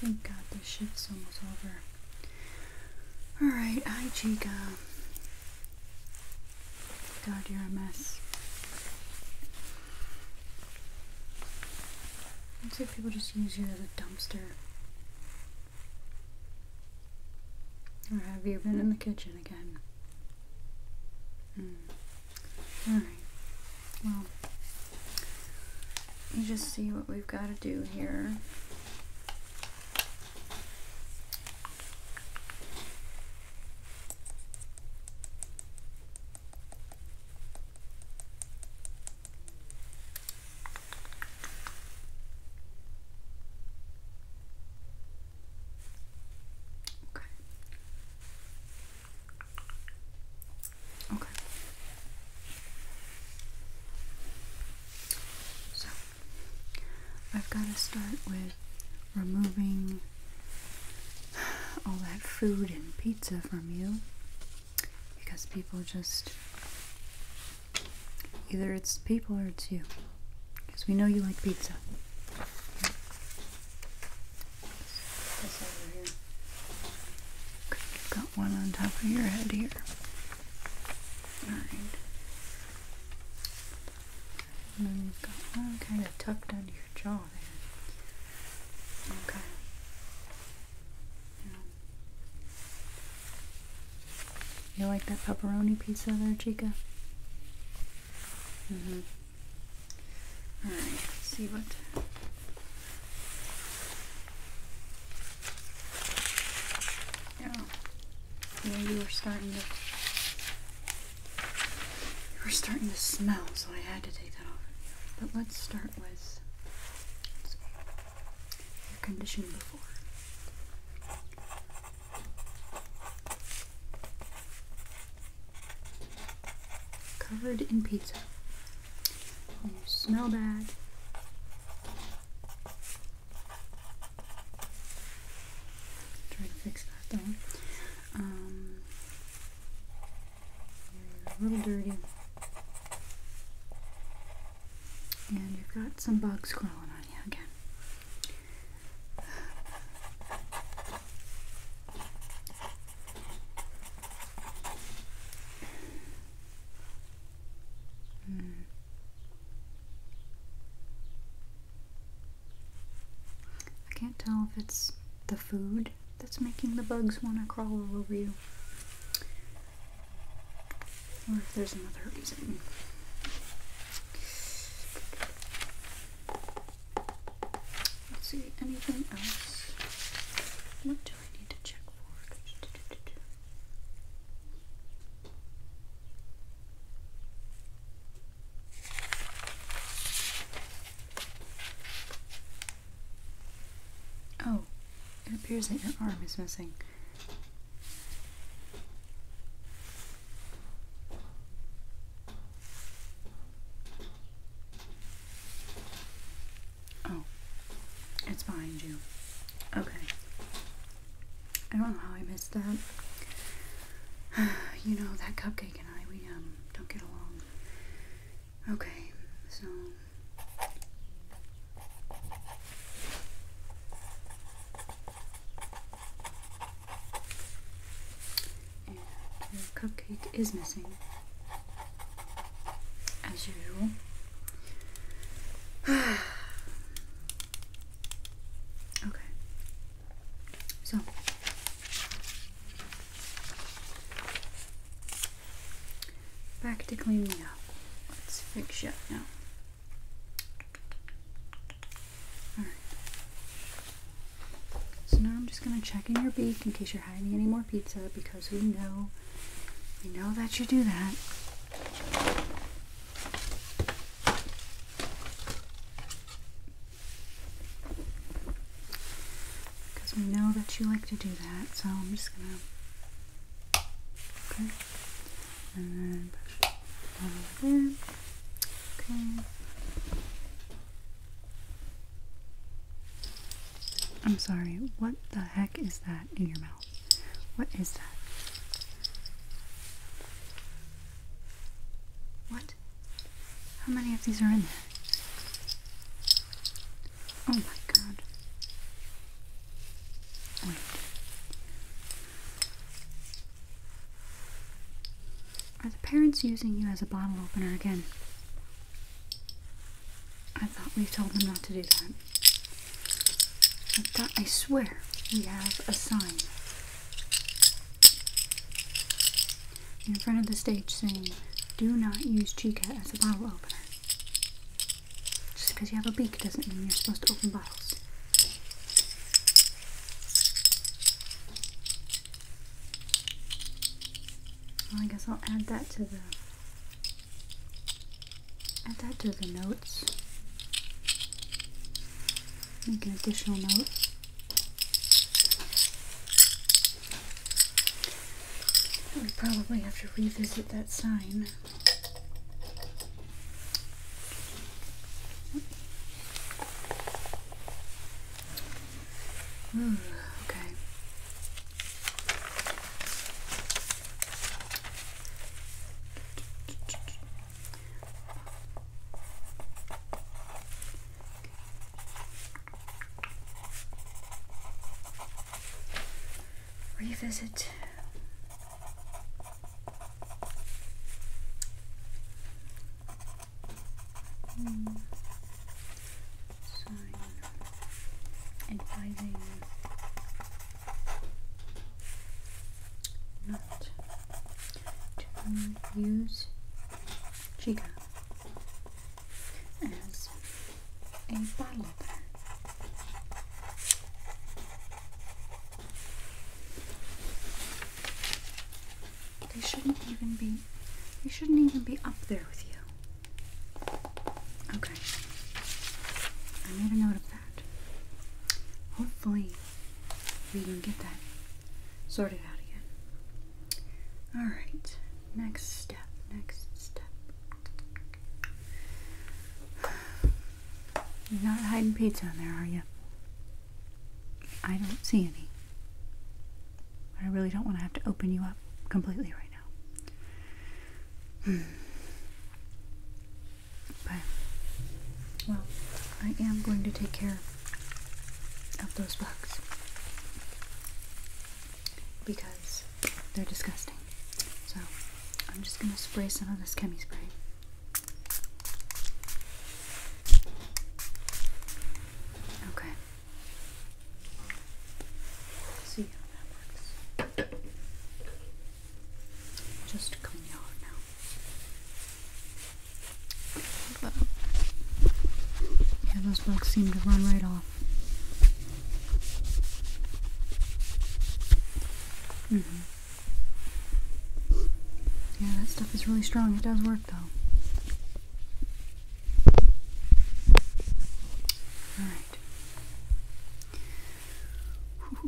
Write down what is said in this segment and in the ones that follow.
Thank God this shift's almost over. Alright, hi Chica. God, you're a mess. Looks like people just use you as a dumpster. Or have you been in the kitchen again? Hmm. Alright, well, you just see what we've got to do here. Okay. Okay. So, I've got to start with removing all that food and pizza from you because people just. Either it's people or it's you. Because we know you like pizza you got one on top of your head here. Alright. And you've got one kind of tucked under your jaw there. Okay. You like that pepperoni pizza there, Chica? Mm-hmm. Alright, see what yeah. Yeah, you were starting to. You were starting to smell, so I had to take that off. But let's start with let's your condition before. Covered in pizza you smell bad. Try to fix that though. Um, you're a little dirty. And you've got some bugs crawling on you again. Hmm. I can't tell if it's the food that's making the bugs want to crawl all over you or if there's another reason. Let's see, anything else? What do I need to check for? Oh, it appears that your arm is missing. Oh, it's behind you. Okay. I don't know how I missed that. you know, that cupcake and I, we um, don't get along. Okay, so your cupcake is missing as usual. okay. So back to cleaning up. Let's fix you now. Alright. So now I'm just gonna check in your beak in case you're hiding any more pizza because we know we know that you do that. Because we know that you like to do that, so I'm just gonna okay, and then push it over Okay, I'm sorry, what the heck is that in your mouth? What is that? What? How many of these are in there? Oh my god. Wait. Are the parents using you as a bottle opener again? I thought we told them not to do that. I thought, I swear we have a sign in front of the stage saying, do not use Chica as a bottle opener. Just because you have a beak doesn't mean you're supposed to open bottles. I guess I'll add that to the add that to the notes. Make an additional note. We probably have to revisit that sign. Mm, okay. Revisit. Mm advising not to use Chica as a bottle They shouldn't even be they shouldn't even be up there with you. Okay. I made a note of that. Hopefully, we can get that sorted out again. Alright, next step, next step. You're not hiding pizza in there, are you? I don't see any. I really don't want to have to open you up completely right now. But, well, I am going to take care of those bugs because they're disgusting. So, I'm just going to spray some of this chemi spray. Okay. See how that works. Just clean it now. Yeah, those bugs seem to run right off. hmm Yeah, that stuff is really strong. It does work though. All right.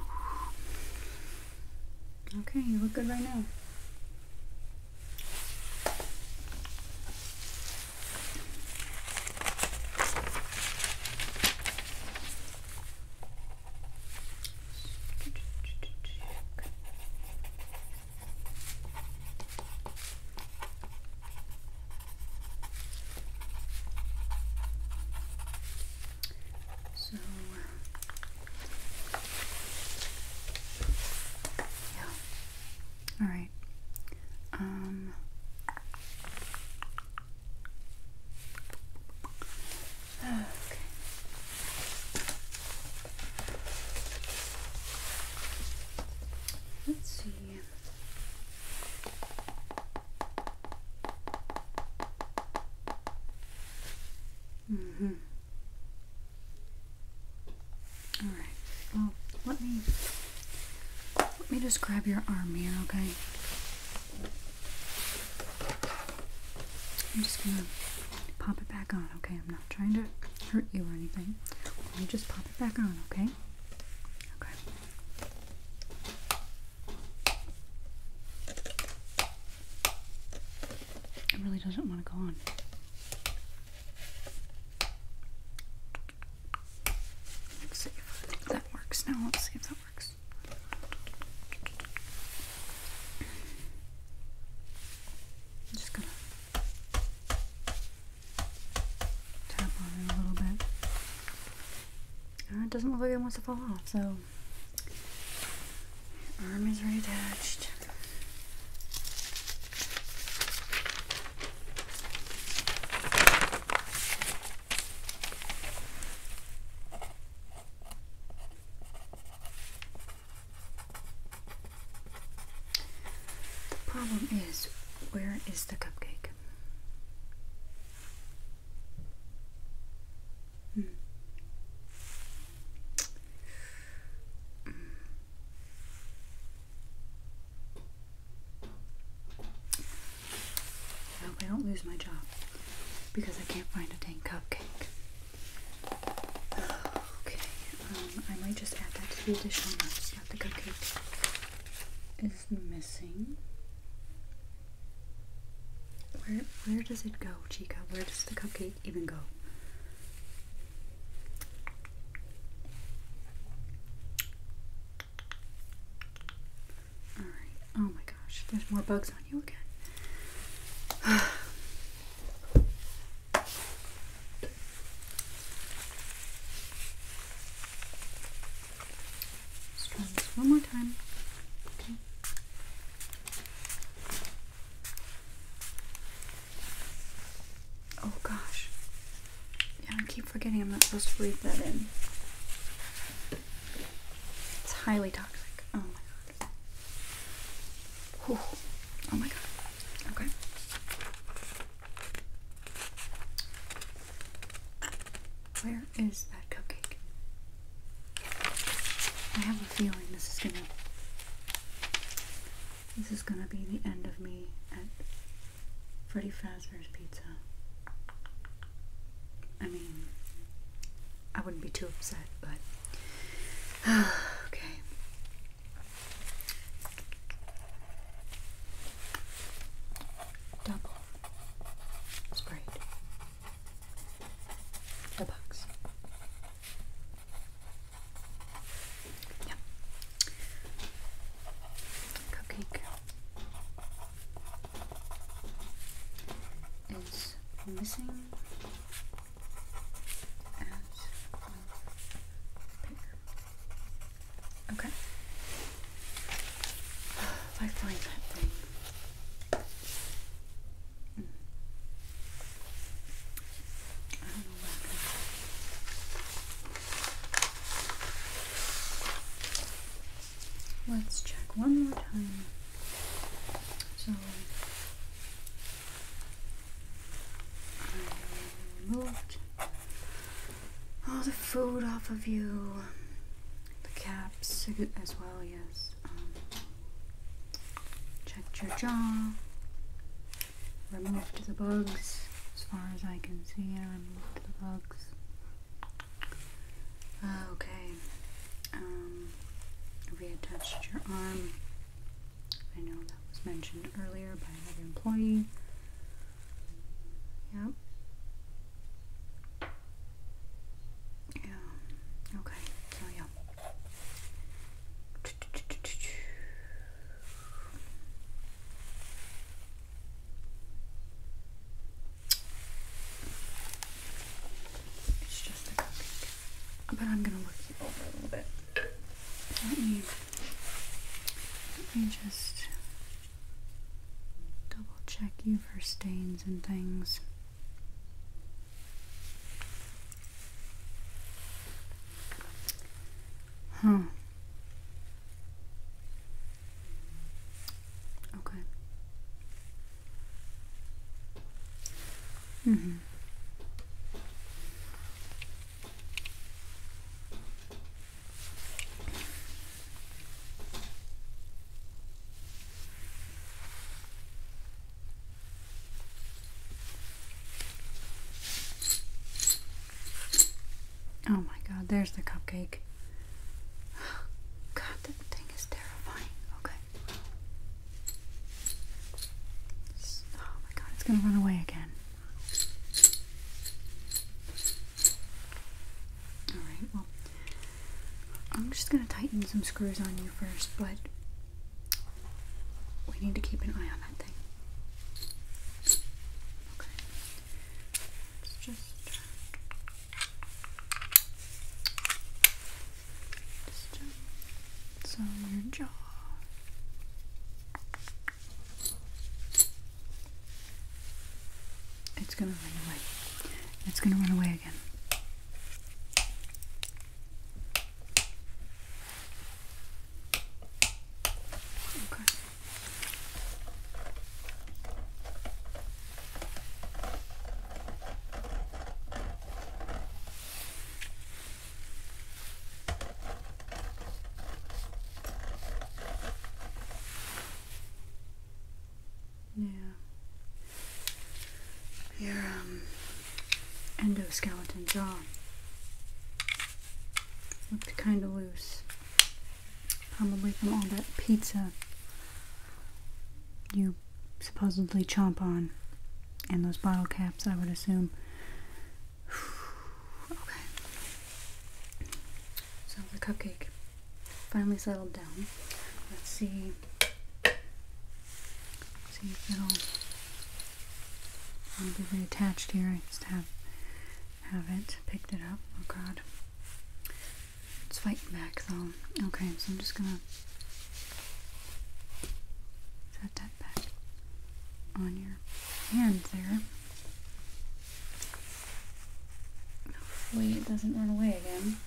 Okay, you look good right now. So, yeah. All right. Um, okay. Let's see. Mm-hmm. All right. Well, let me let me just grab your arm here, okay? I'm just gonna pop it back on, okay? I'm not trying to hurt you or anything. just pop it back on, okay? Okay. It really doesn't want to go on. Let's see if that works now. Let's see if that works. I'm just gonna Tap on it a little bit. Uh, it doesn't look like it wants to fall off, so arm is reattached. The problem is, where is the cupcake? I hmm. hope hmm. I don't lose my job because I can't find a dang cupcake. Okay, um, I might just add that to the additional notes the cupcake is missing. Where where does it go, Chica? Where does the cupcake even go? Alright. Oh my gosh, there's more bugs on you again. Let's try this one more time. Okay. Oh gosh. Yeah, I keep forgetting I'm not supposed to breathe that in. It's highly toxic. Oh my god. Whew. Oh my god. Okay. Where is that cupcake? I have a feeling this is gonna this is gonna be the end of me at Freddy Fazbear's Pizza. I mean, I wouldn't be too upset, but okay. Double sprayed the box. Yeah. Cupcake is missing as well. Okay. Like thing. Mm. Let's check one more time. So removed all the food off of you, the caps as well, yes. Um, checked your jaw, removed the bugs, as far as I can see, I removed the bugs. Uh, okay, um, reattached your arm. I know that was mentioned earlier by another employee. Yep. Yeah. Okay. yeah. But I'm gonna look you over a little bit. Let me let me just double check you for stains and things. Huh. Okay. Mm-hmm. Oh my god, there's the cupcake. God, that thing is terrifying. Okay. Oh my god, it's gonna run away again. Alright, well, I'm just going to tighten some screws on you first, but we need to keep an eye on that thing. Okay. let just. Just, your jaw. It's going to run away. It's going to run away again. Okay. Yeah. Your um, endoskeleton jaw looked kind of loose. Probably from all that pizza you supposedly chomp on. And those bottle caps, I would assume. Okay. So the cupcake finally settled down. Let's see. see if it'll be reattached here. I just have have it picked it up. Oh god. It's fighting back though. Okay, so I'm just gonna set that back on your hand there. Hopefully it doesn't run away again.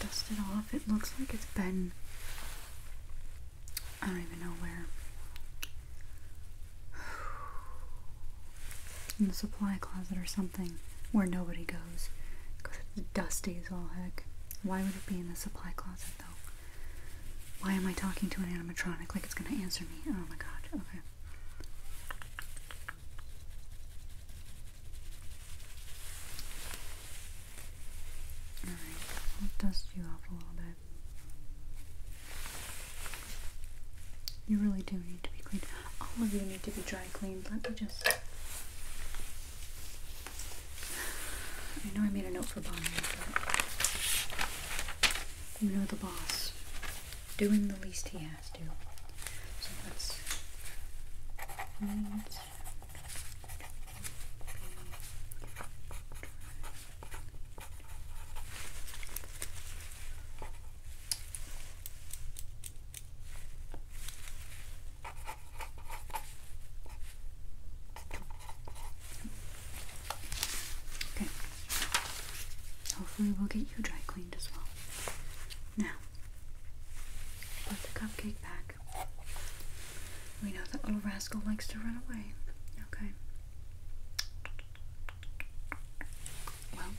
Just dust it off. It looks like it's been I don't even know where. In the supply closet or something where nobody goes. Because it's dusty as all heck. Why would it be in the supply closet? though. Why am I talking to an animatronic like it's gonna answer me? Oh my god, okay. Alright, I'll dust you off a little bit. You really do need to be cleaned. All of you need to be dry cleaned. Let me just I know I made a note for Bonnie, but you know the boss. Doing the least he has to. So let's Okay. Hopefully, we'll get you dry cleaned as well. Now, put the cupcake back. We know that little rascal likes to run away. Okay. Well,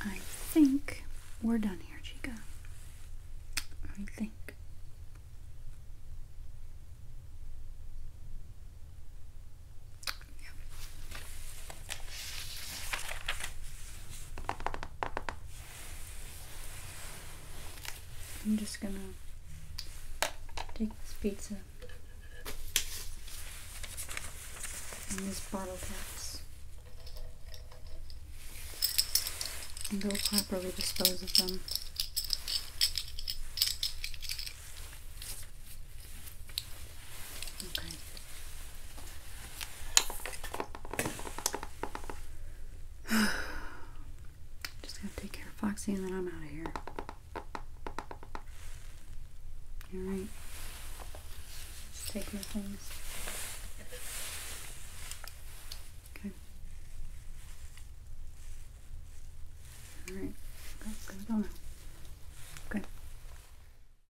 I think we're done here, Chica. I think. Yep. I'm just gonna take this pizza and these bottle caps and go properly dispose of them. Okay. Just gotta take care of Foxy and then I'm out of here. Alright. Take my things. Okay. Alright. let